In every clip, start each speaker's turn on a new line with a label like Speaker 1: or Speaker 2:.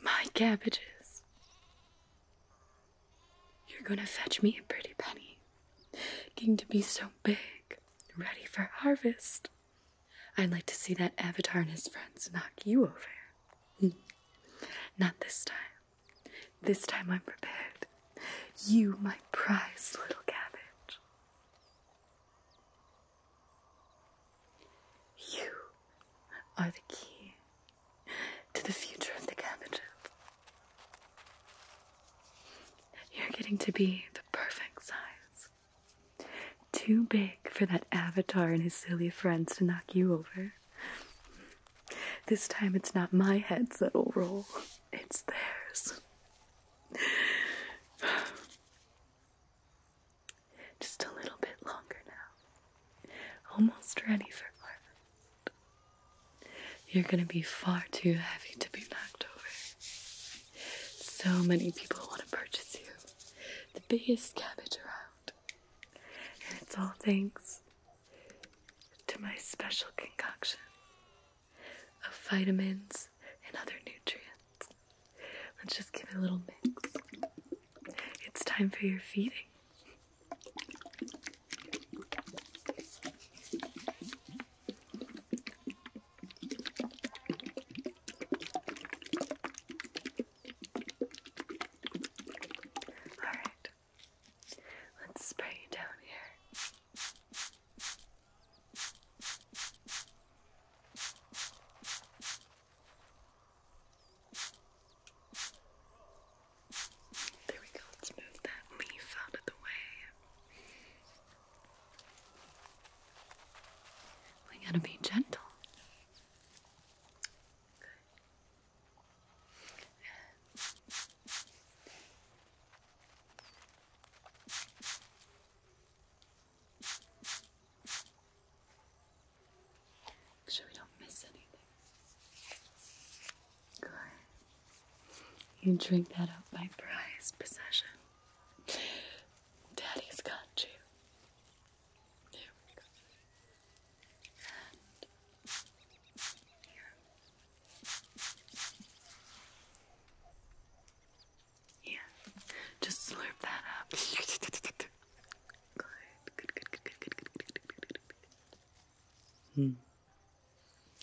Speaker 1: My cabbages. You're gonna fetch me a pretty penny. Going to be so big, ready for harvest. I'd like to see that Avatar and his friends knock you over. Not this time. This time I'm prepared. You, my prized little cabbage. You are the key to the future of the cabbages. You're getting to be the perfect size too big for that avatar and his silly friends to knock you over. This time it's not my heads that'll roll, it's theirs. Just a little bit longer now. Almost ready for harvest. You're gonna be far too heavy to be knocked over. So many people want to purchase you the biggest cabbage around. And it's all thanks to my special concoction of vitamins and other nutrients. Let's just give it a little mix. It's time for your feeding. Alright, let's spray you down here. There we go, let's move that leaf out of the way. We gotta be gentle. Make sure we don't miss anything. Good. You drink that up, my prized possession. Daddy's got you. And Yeah. Just slurp that up. Hmm.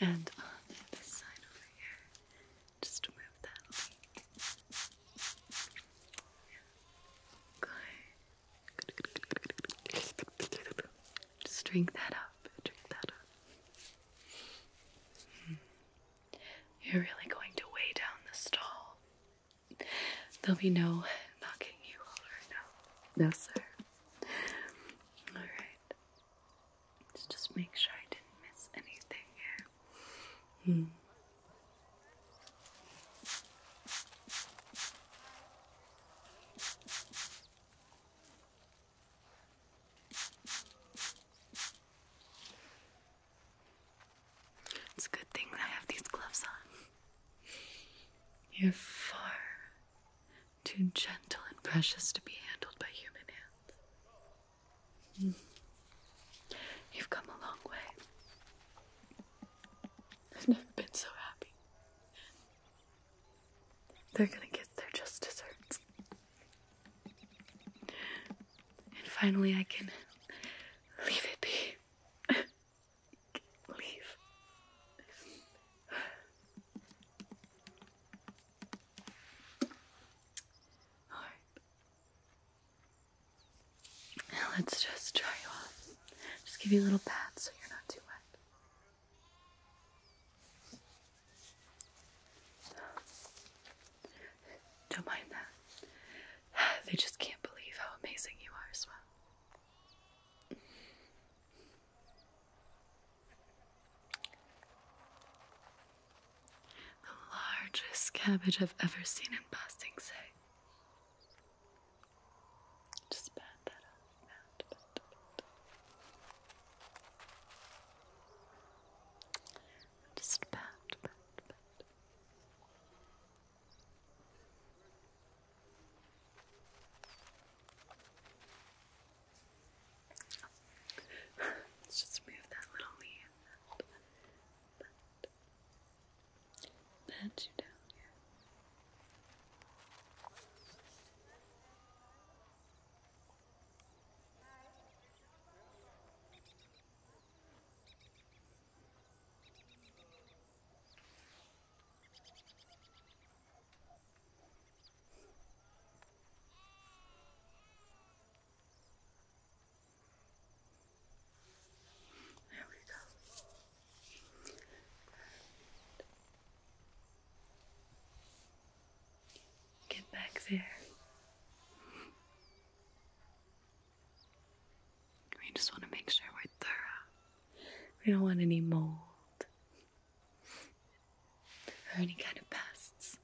Speaker 1: And on the other side over here, just move that. Just drink that up. Drink that up. Hmm. You're really going to weigh down the stall. There'll be no knocking you over. No, no, sir. All right. Let's just make sure I didn't miss anything
Speaker 2: here. Hmm.
Speaker 1: It's a good thing I have these gloves on. You're far too gentle and precious to be handled by human hands. You've come a long way. I've never been so happy. They're gonna get their just desserts. And finally, I can leave it be. leave. let's just dry you off. Just give you a little pat so you're not too wet. Don't mind that. They just can't believe how amazing you are as well. The largest cabbage I've ever seen in Boston, say. Just pat that up. Just pat. Let's just move that little leaf but, pat you down here. There we go. get back there. We just want to make sure we're thorough. We don't want any mold or any kind of pests.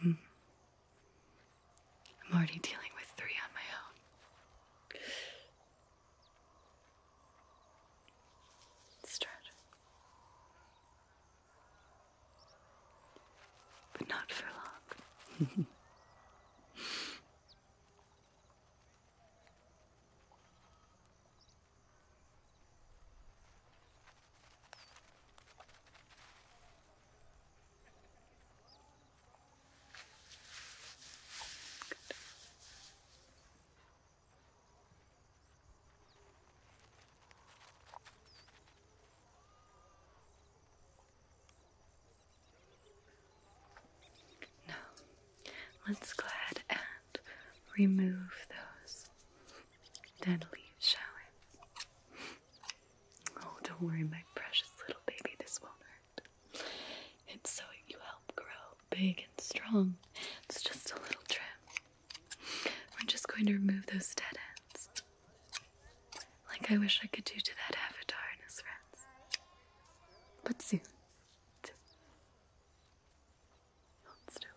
Speaker 1: Hmm. I'm already dealing with three on my own. Strut. But not for long. Now, let's go ahead and remove those dead leaves, shall we? Oh, don't worry, my precious little baby, this won't hurt. It's so you help grow big and strong. It's just a little trim. We're just going to remove those dead ends. Like I wish I could do to that avatar and his friends. But soon. soon. Hold still.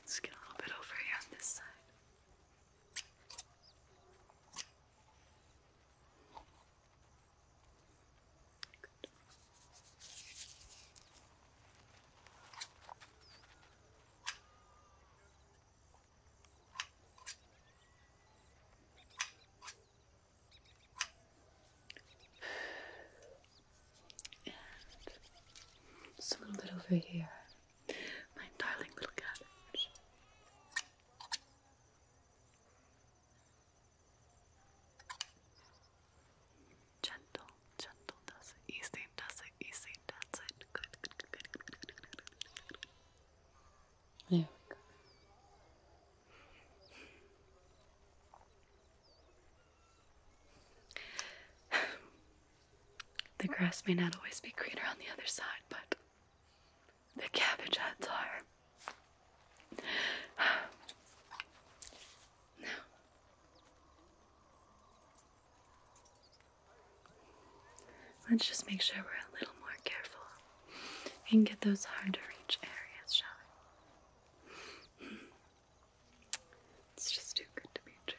Speaker 1: Let's get a little bit over here on this side. Good. And just a little bit over here. My darling little cabbage. Gentle, gentle, does it. Easy, does it. Easy, does it. good, good, good. There we go. the grass may not always be greener on the other side, but the cabbage heads are. now, let's just make sure we're a little more careful and get those hard to reach areas, shall we? It's just too good to be true.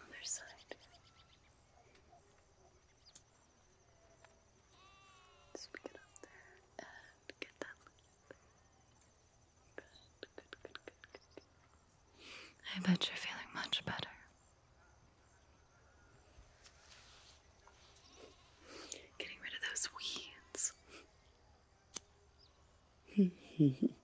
Speaker 1: Other side. Speak it up there and get that good, good, good, good, good. I bet you're feeling much better. Getting rid of those weeds. There we go.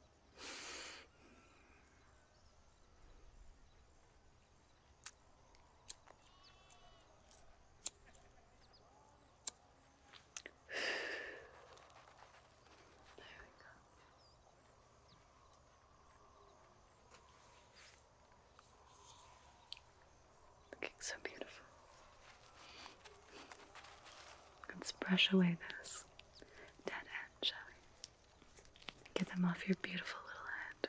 Speaker 1: Looking so beautiful. Let's brush away this dead end, shall we? Get them off your beautiful little head.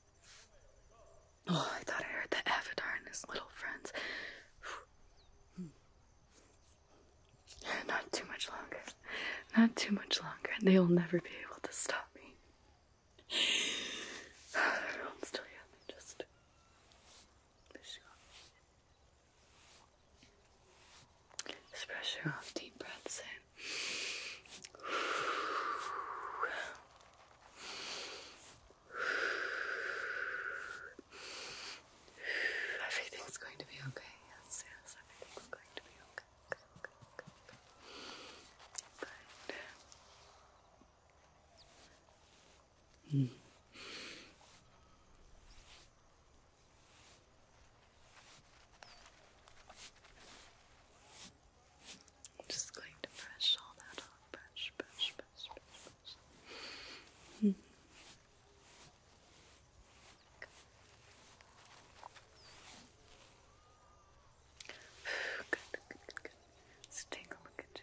Speaker 1: Oh, I thought I heard the Avatar and his little friends. Not too much longer. Not too much longer, and they'll never be able to stop me. Everyone's still here. Let me just. Just off. Deep breaths in. Everything's going to be okay. Yes, yes,
Speaker 2: everything's going to be okay. okay, I'm just going to brush all that off. Brush, brush, brush, brush, brush.
Speaker 1: good, Let's take a look at you.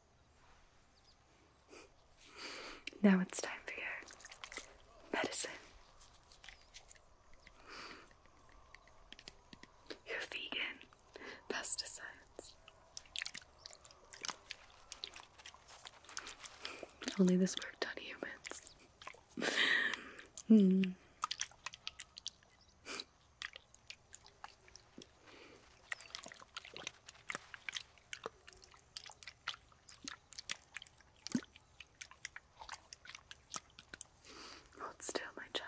Speaker 1: Now it's time for your medicine. You're vegan. Pesticides. Only this worked on humans. Hmm. Hold oh, still, my child.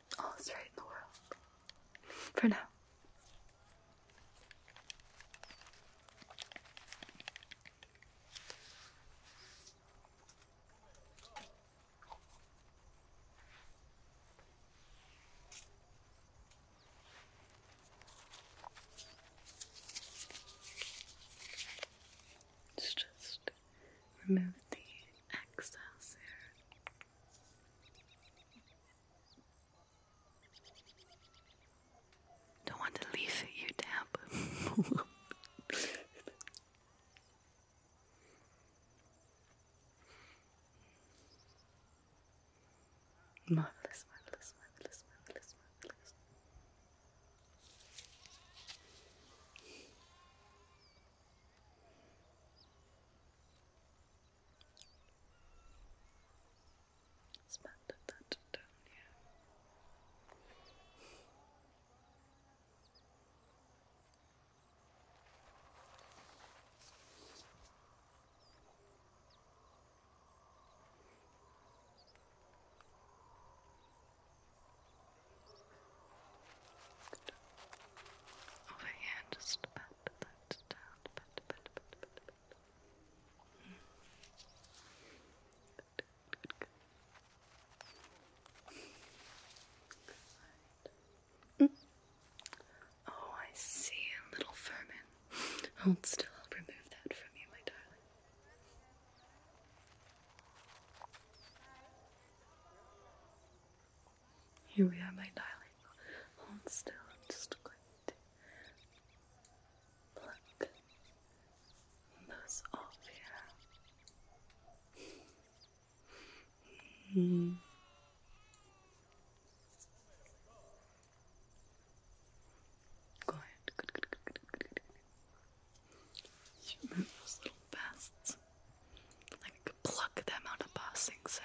Speaker 1: all right in the world. For now. It's just remove the excess here. Don't want to leave it, you dab. marvelous, marvelous, marvelous, marvelous, marvelous. Let's map that down here. Over here, just pat that down. Pat, pat, pat, pat, pat. Oh, I see a little vermin. Hold still, I'll remove that from you, my darling. Here we are, my darling. Hold still. just going to pluck those off here. mm. Go ahead. Good, good, good, good, good, good. You remove those little pests. Like pluck them out of passing, so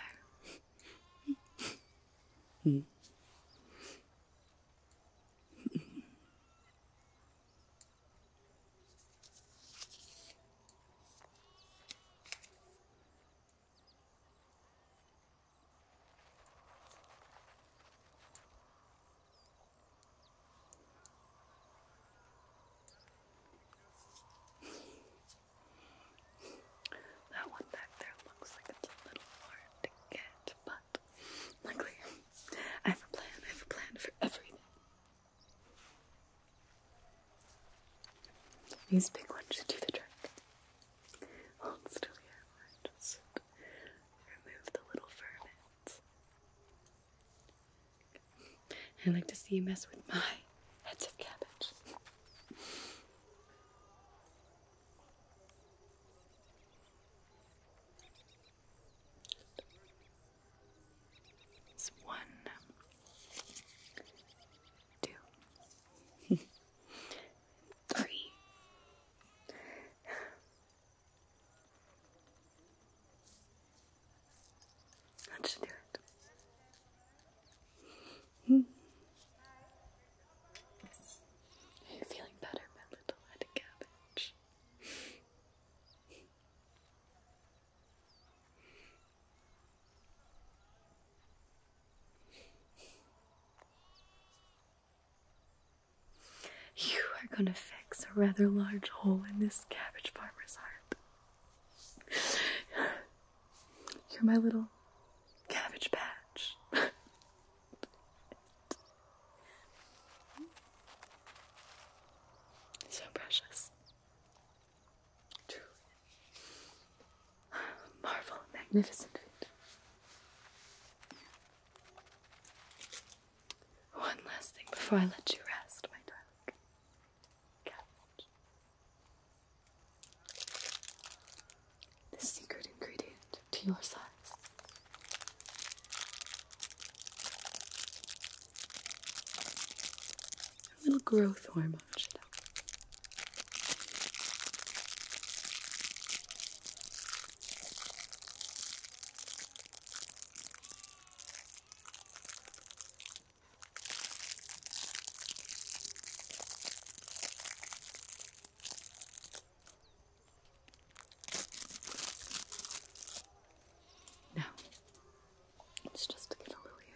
Speaker 1: that one back there looks like it's a little hard to get, but luckily I have a plan. I have a plan for everything. These big ones should do the trick. still here. Just remove the little vermin. I would like to see you mess with my heads of cabbage. It's one, two, three. That should do it. Are you feeling better, my little head cabbage? You are gonna fix a rather large hole in this cabbage farmer's heart. You're my little cabbage patch. so precious. Truly. Marvel, magnificent one last thing before I let you rest, my darling. The secret ingredient to your size. A little growth hormone, no, it's just a little here.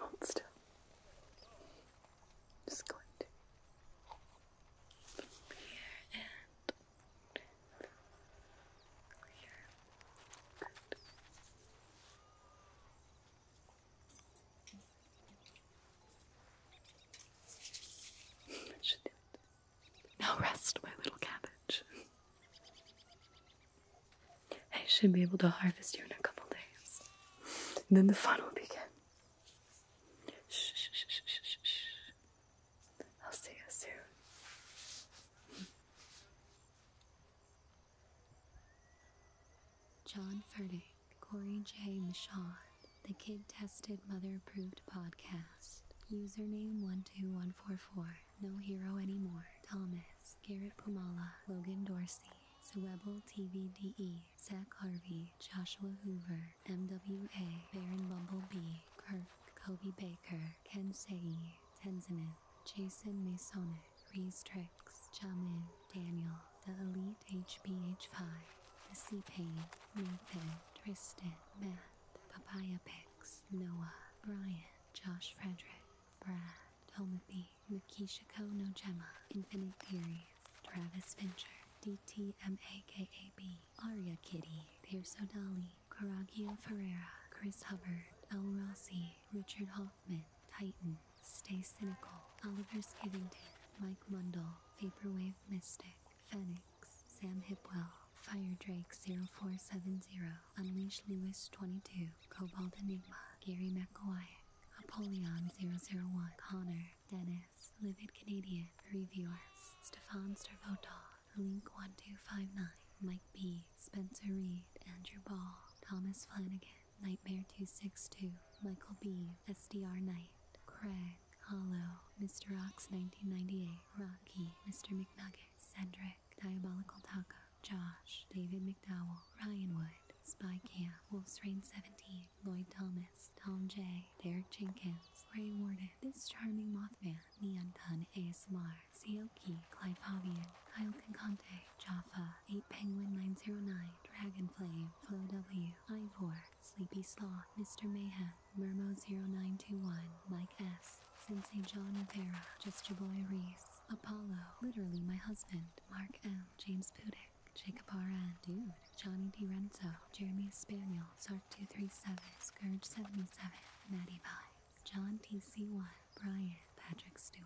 Speaker 1: Hold still. Just going to here and here. Good. should do it. Now rest, my little cabbage. I should be able to harvest you in a couple days. And then the fun will begin. Shh, shh, shh, shh, shh, I'll see you soon.
Speaker 2: John Furtick, Corey J. Michaud, the Kid Tested Mother Approved Podcast. Username 12144. No hero anymore. Thomas. Garrett Pumala. Logan Dorsey. Sewebel TVDE, Zach Harvey, Joshua Hoover, MWA, Baron Bumblebee, Kirk, Kobe Baker, Ken Sei, Tenzinin, Jason Masonic, Reese Trix, Jamin, Daniel, The Elite hph 5 The Sea Pain, Nathan, Tristan, Matt, Papaya Picks, Noah, Brian, Josh Frederick, Brad, Tomathy, Makisha Kono Gemma, Infinite Theories, Travis Fincher, DTMAKAB, Aria Kitty, Pierce O'Dally, Caragio Ferrera, Chris Hubbard, L Rossi, Richard Hoffman, Titan, Stay Cynical, Oliver Skivington, Mike Mundell, Vaporwave Mystic, Fennec, Sam Hipwell, Fire Drake 0470, Unleash Lewis 22, Cobalt Enigma, Gary McElwyack, Apollyon 001, Connor, Dennis, Livid Canadian, Reviewers, Stefan Stervotov, Link1259, Mike B, Spencer Reed, Andrew Ball, Thomas Flanagan, Nightmare262, Michael B, SDR Knight, Craig, Smith, Mr. Ox 1998, Rocky, Mr. McNugget, Cedric, Diabolical Taco, Josh, David McDowell, Ryan Wood, Spy Camp, Wolf's Rain 17, Lloyd Thomas, Tom J, Derek Jenkins, Ray Warden, This Charming Mothman, Neon Kun ASMR, Seoki, Clive Fabian, Kyle Concante, Jaffa, 8 Penguin 909, Dragonflame, Flo W, Ivor, Sleepy Sloth, Mr. Mayhem, Murmur 921 Mike S, Sensei John Rivera, Just Your Boy Reese, Apollo, Literally My Husband, Mark M, James Pudick, Jacobara Dude, Johnny DiRenzo, Jeremy Spaniel, Sark237, Scourge77, Maddie Vibes, John TC1, Brian, Patrick Stewart.